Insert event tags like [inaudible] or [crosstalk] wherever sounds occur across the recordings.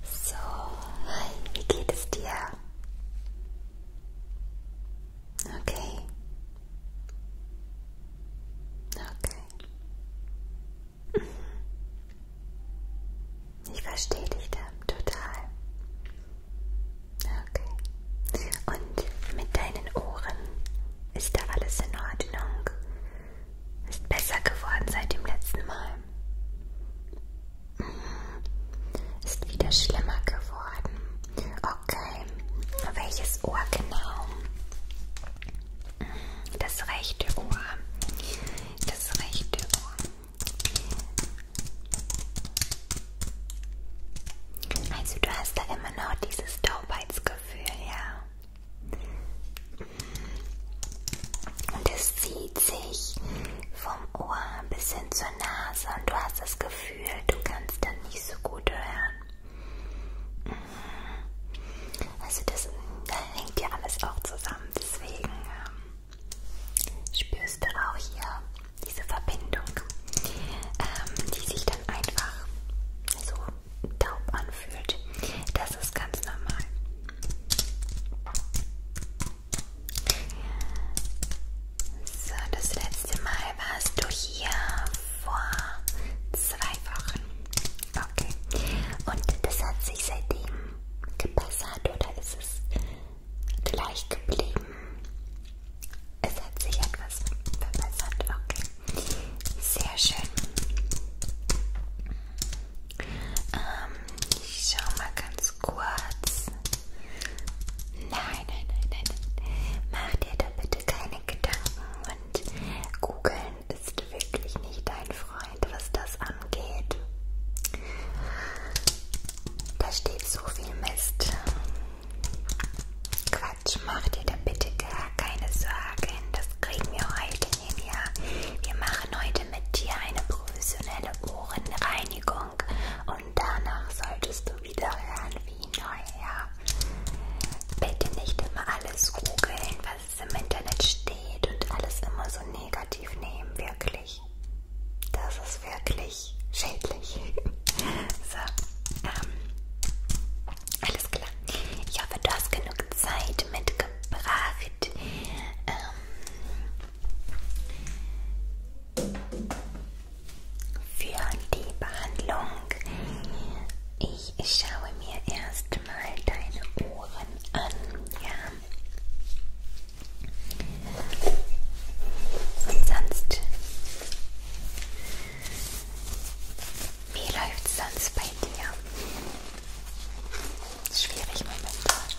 So, hi, wie geht es dir? Okay. Okay. Ich verstehe dich da total. Okay. Und mit deinen Ohren ist da alles in Ordnung? Ist besser geworden seit dem letzten Mal. Mhm. Ist wieder schlimmer geworden. Okay. Welches Ohr genau? Mhm. Das rechte Ohr. Das rechte Ohr. Also du hast da immer noch dieses Taubheitsgefühl, ja? Und es zieht sich vom Ohr bis hin zur Nase und du hast das Gefühl, du kannst dann nicht so gut hören. Mhm. Also das da hängt ja alles auch zusammen, deswegen ähm, spürst du auch hier diese Verbindung, ähm, die sich dann einfach so taub anfühlt. Das ist ganz normal. So, das letzte Mal warst du hier vor zwei Wochen. Okay. Und das hat sich seitdem gebessert oder ist es gleich geblieben? Es hat sich etwas verbessert. Okay. Sehr schön. Ähm, ich schau mal ganz kurz. Nein, nein, nein, nein. Mach dir da bitte keine Gedanken und googeln ist wirklich nicht dein Freund, was das angeht. Da steht so viel Mist. Quatsch, mach dir da bitte gar keine Sorgen. Das kriegen wir heute Cornelia. Wir machen heute mit dir eine professionelle Ohrenreinigung und danach solltest du wieder hören wie neu. Ja. Bitte nicht immer alles googeln, was im Internet steht und alles immer so negativ nehmen, wirklich. Das ist wirklich schädlich. [laughs] so, ähm, alles klar. Ich hoffe, du hast genug Zeit mitgebracht. Outfit. Ähm, für die Behandlung. Ich schaue mir erstmal deine Ohren an. Ja. Und sonst. Wie läuft's sonst bei dir? Schwierig momentan.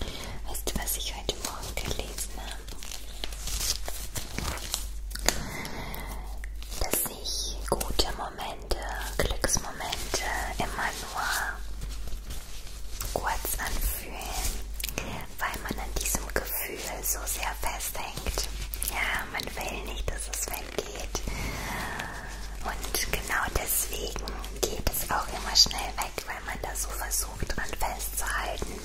Äh, weißt du, was ich heute Morgen gelesen habe? Dass ich gute Momente, Glücksmomente immer nur kurz anfühlen, weil man an diesem Gefühl so sehr festhängt. Ja, man will nicht, dass es weggeht. Und genau deswegen geht es auch immer schnell weg, weil man da so versucht, dran festzuhalten.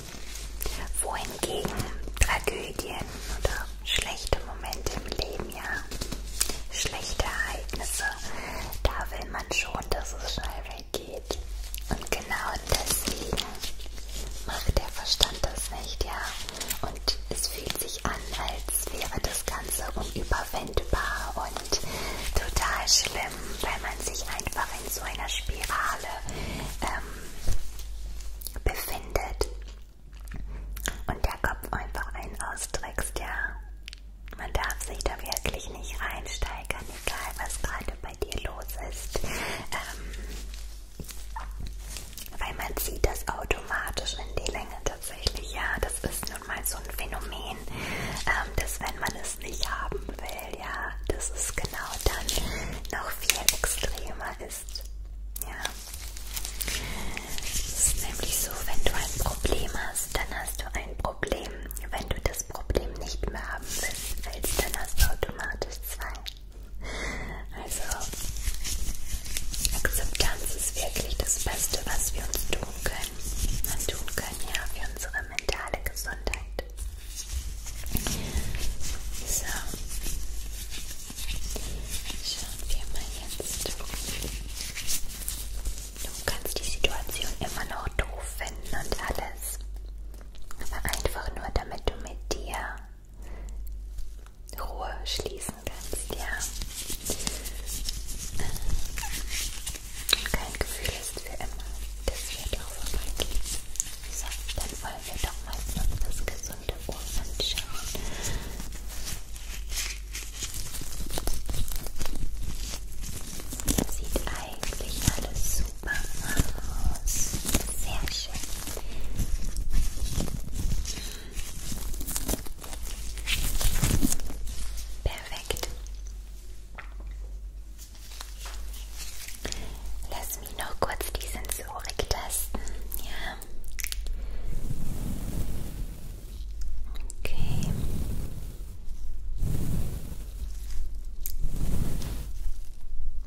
Wohingegen Tragödien oder schlechte Momente im Leben, ja, schlechte Ereignisse, da will man schon, dass es schnell weggeht. Und genau deswegen macht der Verstand das nicht, ja. Und es fühlt sich an, als wäre das Ganze unüberwindbar und total schlimm, weil man sich einfach in so einer Spirale ähm, befindet und der Kopf einfach einen austrickst, ja. Man darf sich da wirklich nicht reinsteigern, egal was gerade bei dir los ist. Ähm, weil man zieht das automatisch in die Länge tatsächlich. Ja, das ist nun mal so ein Phänomen, ähm, dass wenn man es nicht haben will, ja, dass es genau dann noch viel extremer ist. Ja. Es ist nämlich so, wenn du ein Problem hast, dann hast du ein Problem. Wenn du das Problem nicht mehr haben willst, dann hast du automatisch zwei. Also, Akzeptanz ist wirklich das Beste, was wir uns tun können. Man tun können ja für unsere mentale Gesundheit. So, schauen wir mal jetzt. Du kannst die Situation immer noch doof finden und alles. Aber einfach nur damit du mit dir Ruhe schließen kannst, ja. Und äh, kein Gefühl ist für immer. Das wird auch vorbeigehen. So, dann wollen wir doch mal uns das gesunde Ohr anschauen. Sieht eigentlich alles so Supermaus. Sehr schön. Perfekt. Lass mich noch kurz die Sensorik testen. Ja. Okay.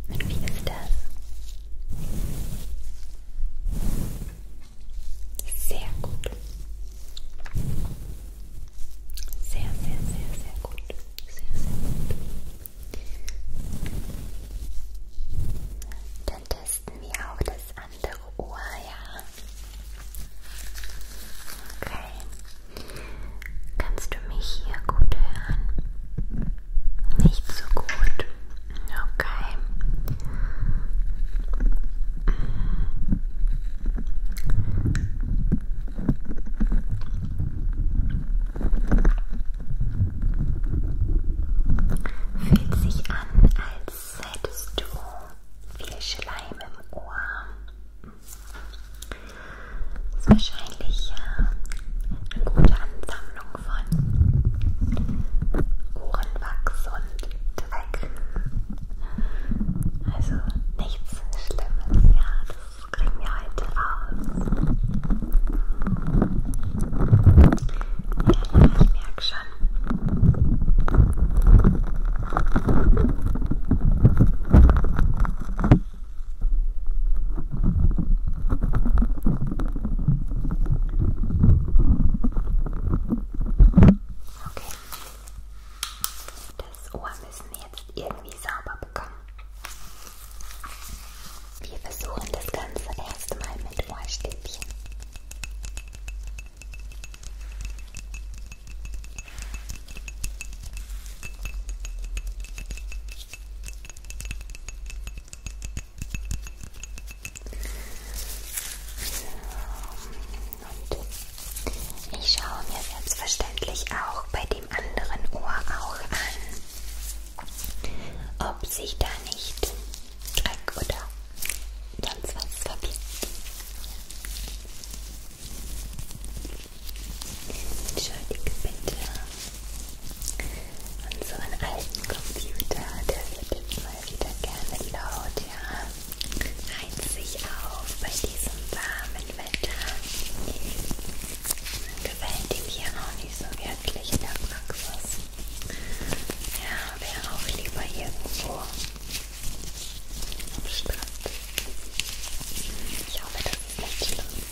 Und wie ist das? Sehr gut. Sehr, sehr, sehr, sehr gut. Sehr, sehr gut. Dann testen wir auch das andere Ohr, ja. Okay. Kannst du mich hier gut hören? Nicht so gut. Okay. Fühlt sich an, als hättest du viel Schleim im Ohr ist wahrscheinlich äh, eine gute Ansammlung von Ohrenwachs und Dreck. Also nichts Schlimmes, ja, das kriegen wir heute raus. Ja, ja, ich merke schon. Okay. Das Ohr müssen wir jetzt irgendwie sauber bekommen. Wir versuchen das Ganze erstmal mit Ohrstäbchen. Okay. So. Und ich schaue mir selbstverständlich auch bei dem anderen Ohr auch an, ob sich da nicht Dreck oder sonst was verbirgt. Entschuldige bitte unseren alten Computer, der wird jetzt mal wieder gerne laut, ja? Reizt sich auf bei diesem warmen Wetter. Gefällt ihm hier auch nicht so wirklich in der Praxis. Ja, wäre auch lieber irgendwo am Strand. Ich hoffe, das ist nicht schlimm.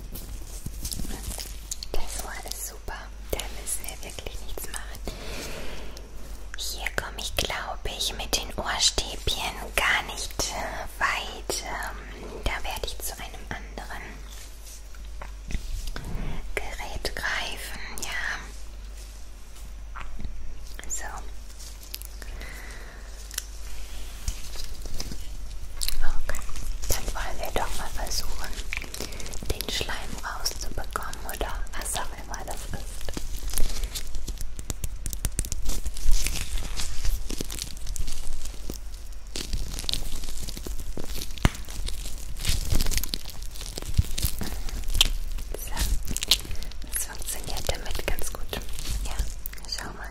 Das war alles super. Da müssen wir wirklich nichts machen. Hier komme ich, glaube ich, mit den Ohrstäbchen gar nicht äh, weit. Ähm, da werde ich zu einem anderen Gerät greifen. Ja. So. Okay, dann wollen wir doch mal versuchen, den Schleim rauszubekommen oder was auch immer das ist. So, das funktioniert damit ganz gut. Ja, schau mal.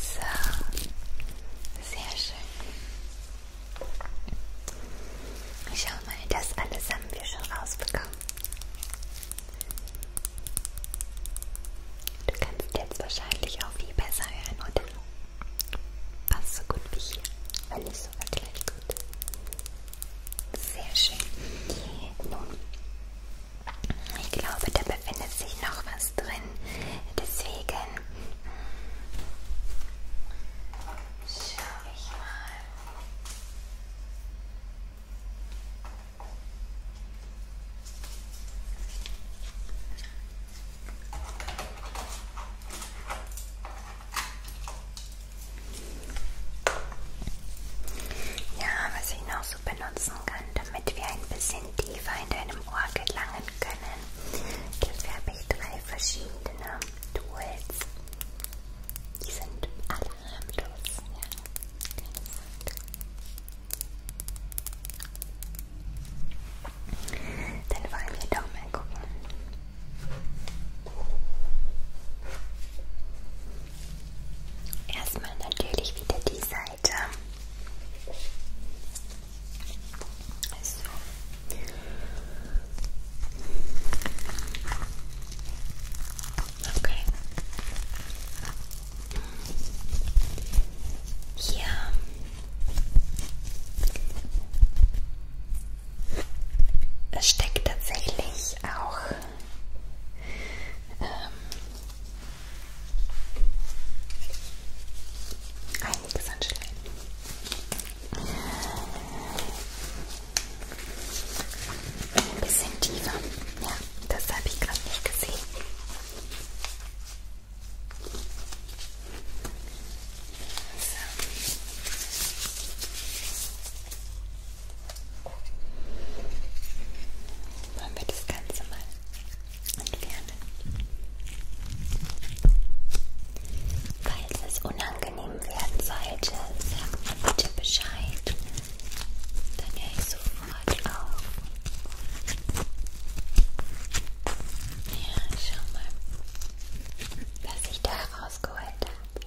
So, sehr schön. Schau mal, das alles haben wir schon rausbekommen. Du kannst jetzt wahrscheinlich auch viel besser hören, oder? Passt so gut wie hier, weil ich ist sogar gleich gut. Sehr schön. Nun, ich glaube, da befindet sich noch was drin. Deswegen schaue ich mal. Ja, was ich noch so benutzen kann, damit wir ein bisschen tiefer in deinem Ohr gelangen können. Dafür habe ich drei verschiedene Tools. Die sind alle harmlos. Ja. Dann wollen wir doch mal gucken, Erstmal natürlich wieder die Seite. So. Also. Okay. Hier es steckt tatsächlich auch ähm, einiges an Schleim. Ein bisschen tiefer. Ja, das habe ich gerade nicht gesehen. So. Wollen wir das Ganze mal entfernen? Falls es unangenehm werden sollte, sagt mir bitte Bescheid. Dann höre ich sofort auf. Ja, schau mal, was ich da rausgeholt habe.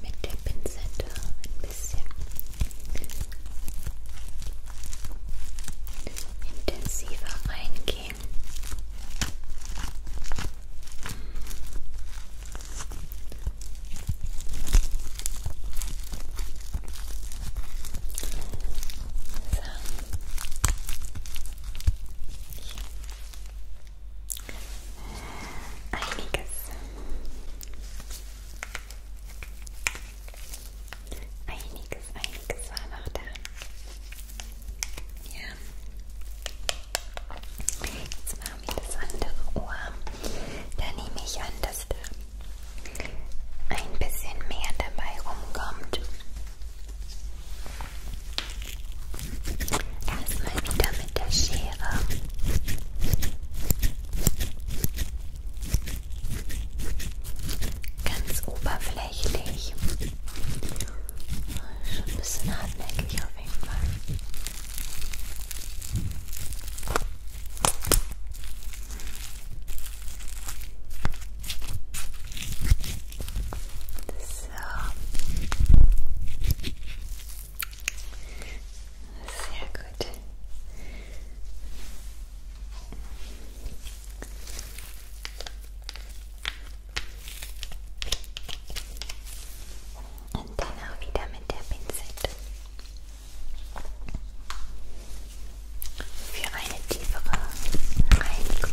mit der Pinzette ein bisschen intensiver reingehen. So. Einiges Einiges, einiges war noch da. Ja. Jetzt machen wir das andere Ohr. Da nehme ich an, dass da ein bisschen mehr dabei rumkommt. Erstmal wieder mit der Schere. Ganz oberflächlich. Schon ein bisschen hartnäckig auf jeden Fall. So. Sehr gut. Und dann auch wieder mit der Pinzette. Für eine tiefere Reinigung.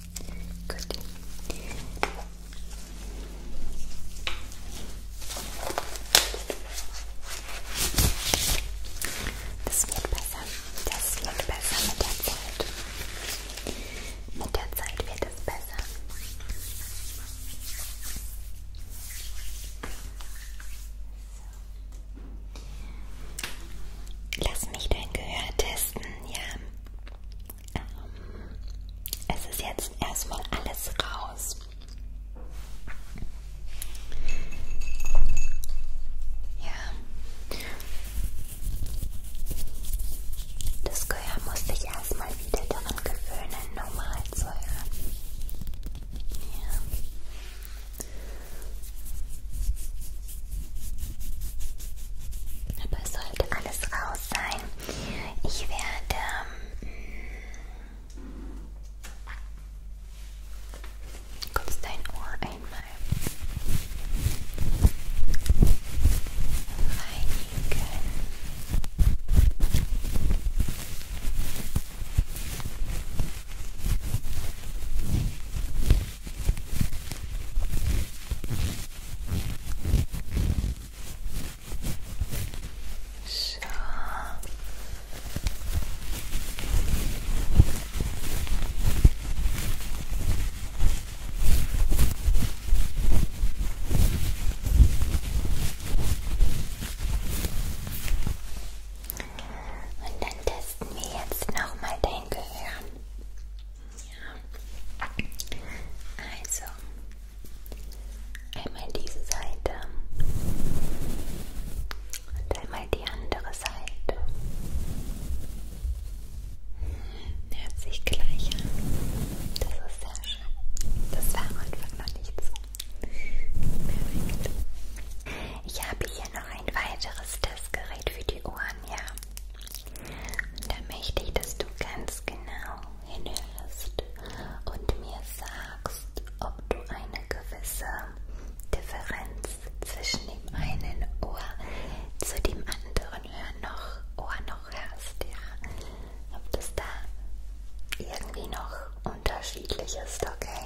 Gut. Das wird besser. Das wird besser mit der Zeit. Mit der Zeit wird es besser. Lass mich dein Gehör testen ja, ähm, es ist jetzt erstmal alles raus. Ja, das Gehör muss sich erstmal wieder daran gewöhnen, normal zu hören. Ja. Aber es sollte alles raus sein. Ich werde... Ähm, Kurz dein Ohr einmal reinigen. So. Und dann testen wir jetzt nochmal dein Gehirn. Ja. Also, einmal diese Seite und einmal die andere Seite. Hm, hört sich gleich an. Das ist sehr schön. Das war am Anfang noch nicht so. Perfekt. Ich habe hier noch ein weiteres Testgerät für die Ohren. Ohren, ja. Und da möchte ich, dass du ganz genau hinhörst und mir sagst, ob du eine gewisse Differenz zwischen dem einen Ohr zu dem anderen Hör noch, Ohr noch hörst, ja. Ob das da irgendwie noch unterschiedlich ist, okay?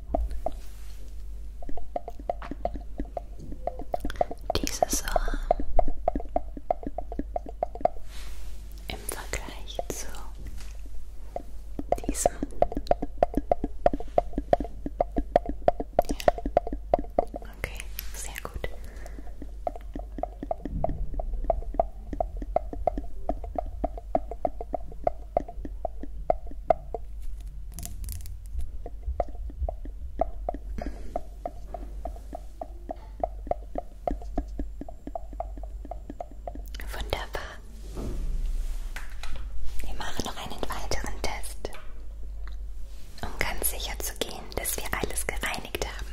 Dieses Ohr im Vergleich zu diesem ja. Okay, sehr gut. Wunderbar. Wir machen noch einen weiteren Test, um ganz sicher zu gehen, dass wir alles gereinigt haben.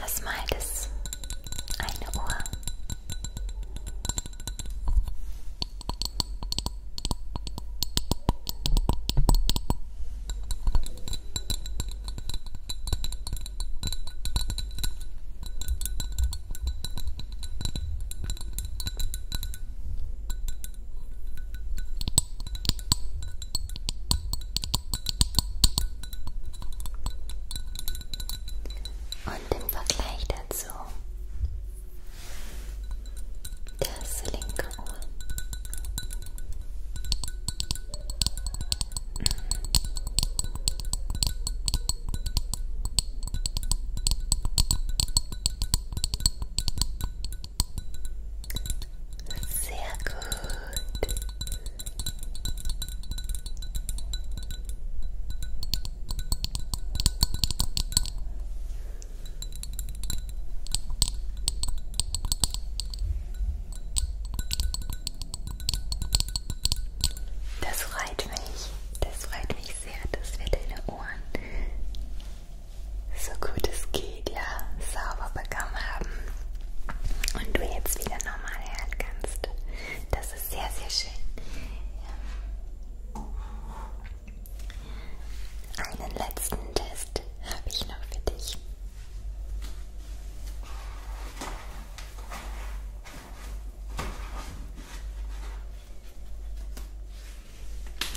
Erstmal das eine Ohr. Und im Vergleich dazu das linke Ohr. Sehr gut. Das freut mich, das freut mich sehr, dass wir deine Ohren so gut es geht, ja, sauber bekommen haben und du jetzt wieder normal hören kannst. Das ist sehr, sehr schön. Einen letzten Test habe ich noch für dich.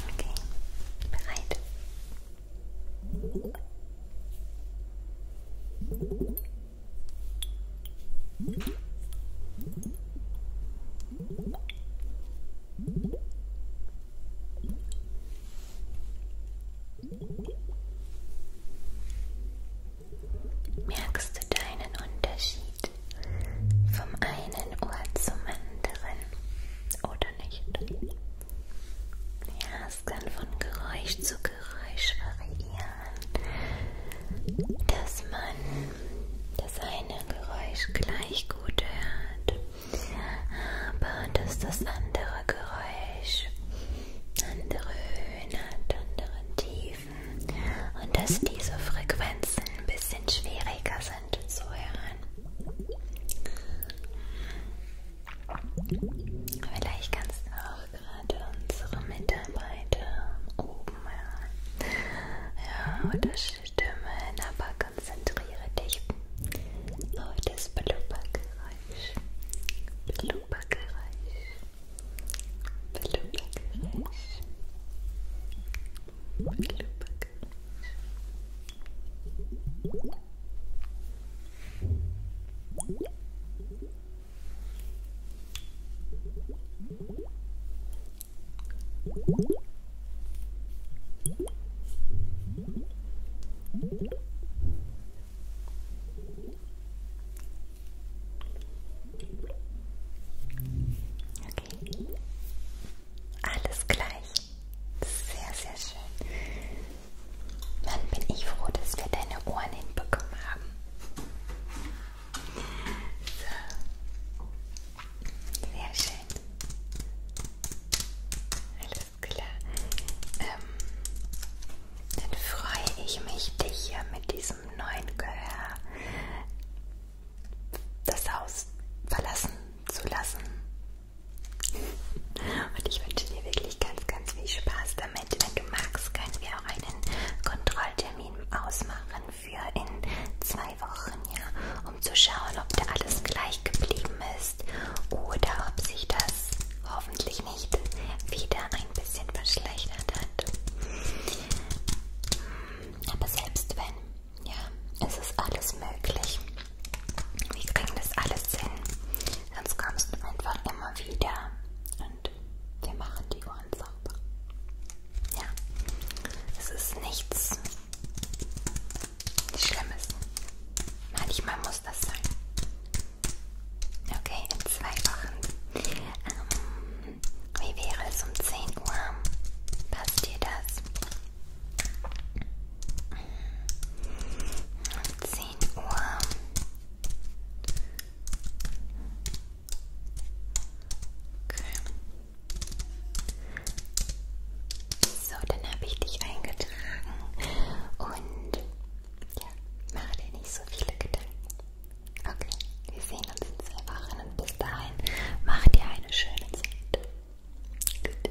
Okay, bereit. Merkst du deinen Unterschied vom einen Ohr zum anderen oder nicht? Ja, es kann von Geräusch zu Geräusch. Geräusch variieren, dass man das eine Geräusch gleich gut hört, aber dass das andere Geräusch andere Höhen hat, andere Tiefen und dass diese Frequenzen ein bisschen schwieriger sind zu hören. Vielleicht kannst du auch gerade unsere Mitarbeiter oben ja, ja oder Stimmen, aber konzentriere dich auf das Blubbergeräusch. Blubbergeräusch. Blubbergeräusch. Blubbergeräusch. Blubbergeräusch. Okay. Alles gleich. Sehr, sehr schön. Mann, bin ich froh, dass wir deine Ohren hinbekommen haben. So. Sehr schön. Alles klar. Ähm, dann freue ich mich, dich hier mit diesem neuen Gehör das Haus verlassen zu lassen. Und ich wünsche dir wirklich ganz, ganz viel Spaß Pfefferminze. Wenn du magst, können wir auch einen Kontrolltermin ausmachen für in zwei Wochen, ja, um zu schauen, ob da alles gleich geblieben ist oder ob sich das hoffentlich nicht wieder ein bisschen verschlechtert hat. Aber selbst wenn, ja, es ist alles möglich. Wir kriegen das alles hin. Sonst kommst du einfach immer wieder und wir machen die Ohren sauber. Ja, es ist nichts Schlimmes. Manchmal muss das sein. Okay, in zwei Wochen. Ähm, wie wäre es um 10 Uhr? Passt dir das? Um 10 Uhr Okay. So, dann habe ich dich eingetragen und ja, mache dir nicht so viele Gedanken. Okay, wir sehen uns in zwei Wochen und bis dahin mach dir eine schöne Zeit. Gut.